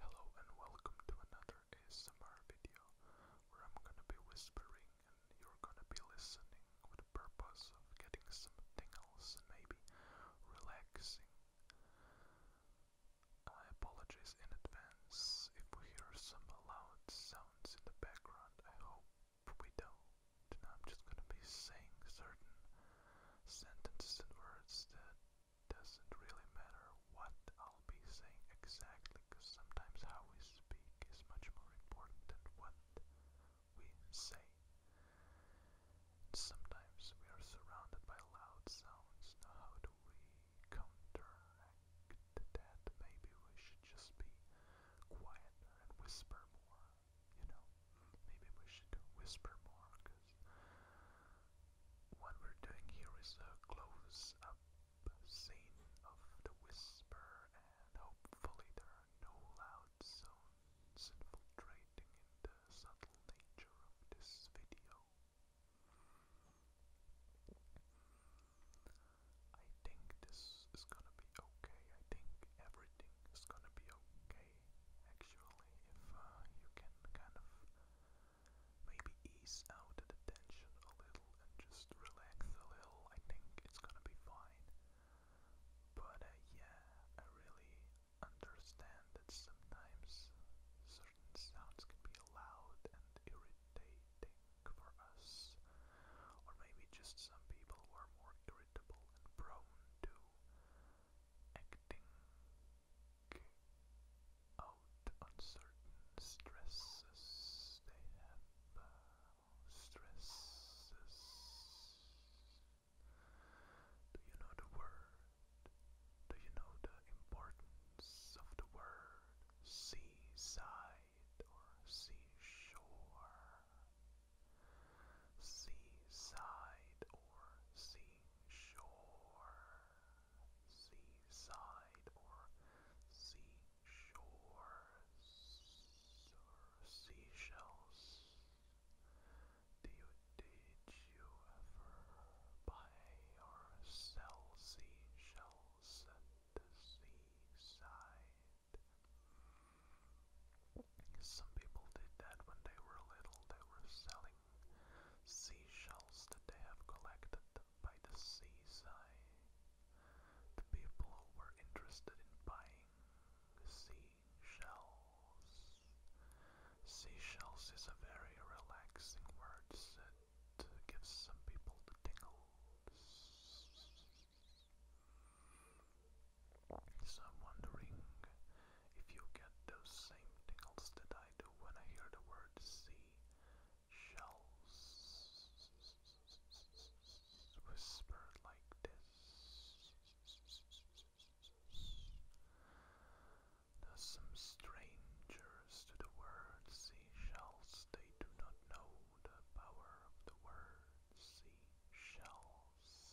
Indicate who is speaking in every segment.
Speaker 1: Hello and welcome to another ASMR video where I'm gonna be whispering and you're gonna be listening with the purpose of getting something else and maybe relaxing. I apologize in advance if we hear some loud sounds in the background. I hope we don't. And I'm just gonna be saying certain sentences and words that doesn't really matter what I'll be saying exactly, because sometimes how we speak is much more important than what we say. sometimes we are surrounded by loud sounds. Now, how do we counteract that? Maybe we should just be quieter and whisper more. You know, maybe we should whisper more because what we're doing here is a close up scene of the whisper, and hopefully there are no loud sounds infiltrating the subtle nature of this video. I think this is gonna be okay. I think everything is gonna be okay actually, if uh, you can kind of maybe ease out the tension a little and just relax a little, I think it's gonna be fine. But uh, yeah, I really understand that sometimes certain sounds can be loud and irritating for us, or maybe just some people are more irritable and prone to acting out on certain uh, stresses do you know the word do you know the importance of the word seaside or seashore Seaside or seashore. Seaside or seashores or seashells. Do you, did you ever buy or sell seashells at the seaside? Some people did that when they were little. They were selling seashells that they have collected by the seaside. The people who were interested in buying seashells. Seashells is a very relaxing word that gives some people the tingles. So I'm wondering if you get those same tingles that I do when I hear the word sea shells whisper like this. There's some strangers to the word seashells. They do not know the power of the word sea shells.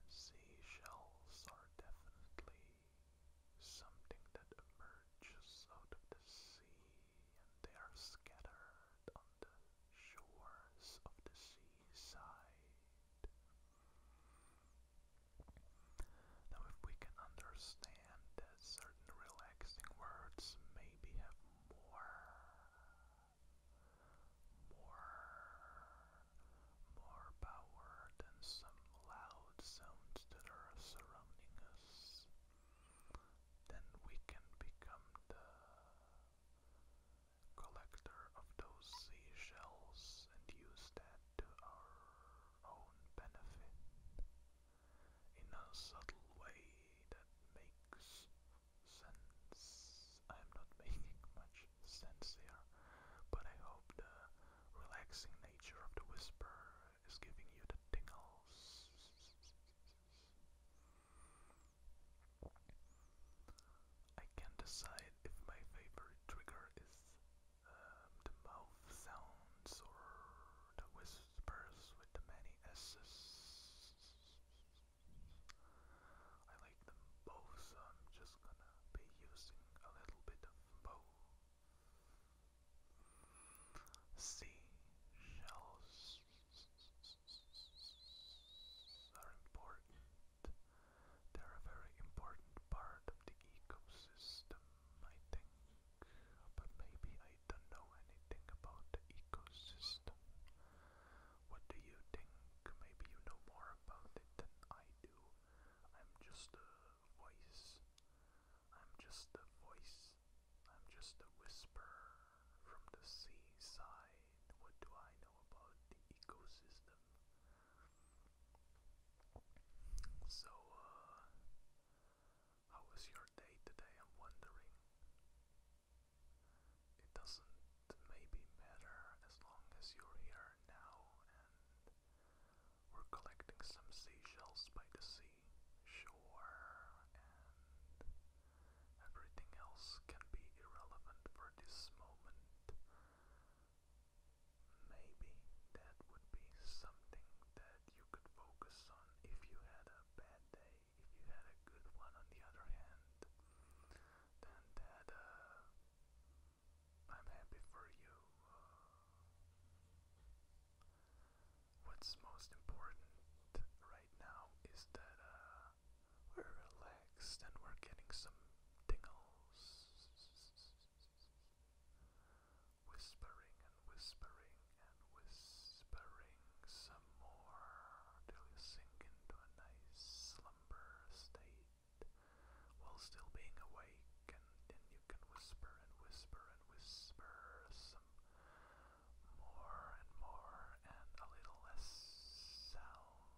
Speaker 1: And seashells are definitely something that emerges out of the sea and they are scattered on the shores of the seaside. Now if we can understand certain relaxing words maybe have more, more, more power than some loud sounds that are surrounding us, then we can become the collector of those seashells and use that to our own benefit in a subtle way that makes sense. I'm not making much sense here, but I hope the relaxing nature of the whisper is giving you the tingles. I can't decide if my favorite trigger is um, the mouth sounds or the whispers with the many S's. I like them both, so I'm just gonna be using a little bit of both. Sea shells are important. They're a very important part of the ecosystem. I think, but maybe I don't know anything about the ecosystem. What do you think? Maybe you know more about it than I do. I'm just a voice. I'm just a voice. I'm just a whisper from the seaside. What do I know about the ecosystem? So, uh, how was your day today? I'm wondering. It doesn't maybe matter as long as you're here now and we're collecting some seashells by the sea, shore, and everything else can be irrelevant for this moment. Maybe that would be something that you could focus on if you had a bad day. If you had a good one, on the other hand, then that uh, I'm happy for you. Uh, what's most important right now is that uh, we're relaxed and we're getting some tingles. Whispering and whispering and whispering some more till you sink into a nice slumber state while still being awake, and then you can whisper and whisper and whisper some more and more, and a little less sound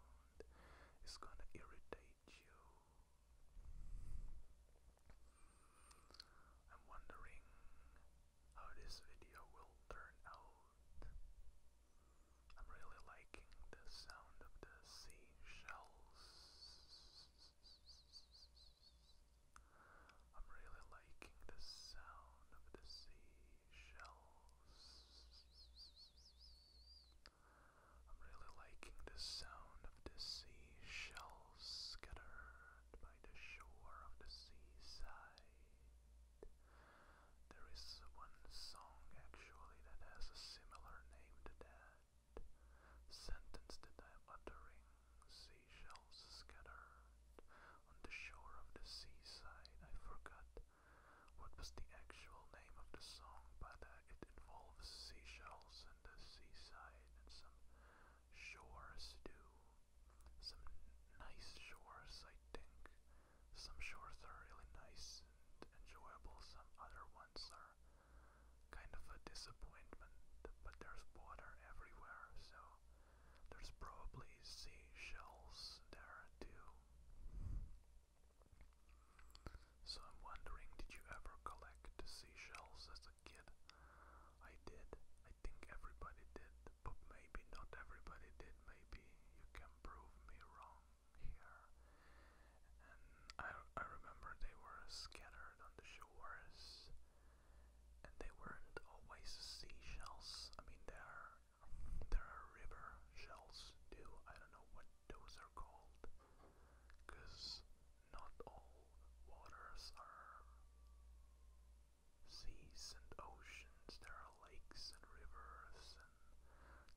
Speaker 1: is gonna irritate you I'm wondering how this video will turn out. I'm really liking the sound of the seashells. I'm really liking the sound of the seashells. I'm really liking the sound of the sea shells scattered by the shore of the seaside. There is one song actually that has a similar name to that. Sentence that I'm uttering, seashells scattered on the shore of the seaside. I forgot what was the actual name of the song, but it involves seashells and the seaside and some shores stew. Some nice shores, I think. Some shores are really nice and enjoyable, some other ones are kind of a disappointment, but there's water everywhere, so there's probably seashells there too. So I'm wondering, did you ever collect seashells as a kid? I did. I think everybody did, but maybe not everybody did. Maybe you can prove me wrong here. And I, remember they were scattered on the shores, and they weren't always seashells. I mean, they are there are river shells too. I don't know what those are called. Because not all waters are seas and oceans. There are lakes and rivers, and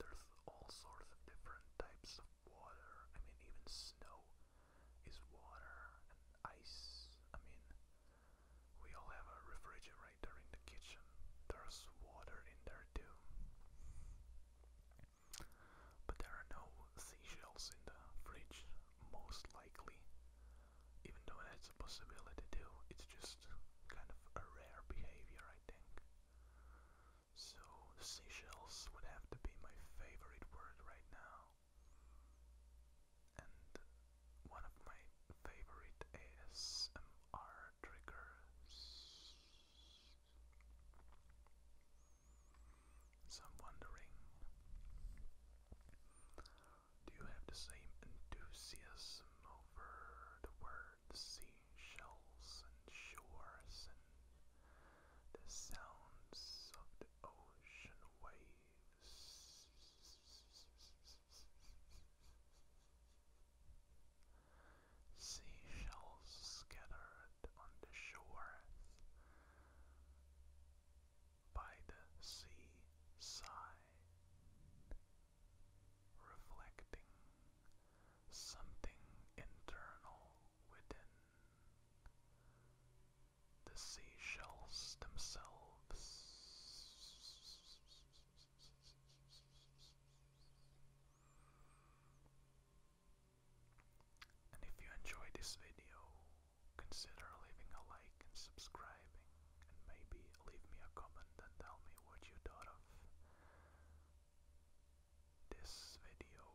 Speaker 1: there's all sorts of different types of water. I mean, even snow is water, and ice. I mean, we all have a refrigerator in the kitchen. There's water in there too. But there are no seashells in the fridge, most likely. Even though that's a possibility too, it's just kind of a rare behavior, I think. So, the seashells would have to be my favorite word right now and one of my favorite ASMR triggers. So wondering, do you have the same enthusiasm over the word seashells and shores and the sounds of the ocean waves? Seashells scattered on the shore by the seaside, reflecting something internal within the seashells themselves. And if you enjoyed this video, consider leaving a like and subscribing, and maybe leave me a comment and tell me what you thought of this video.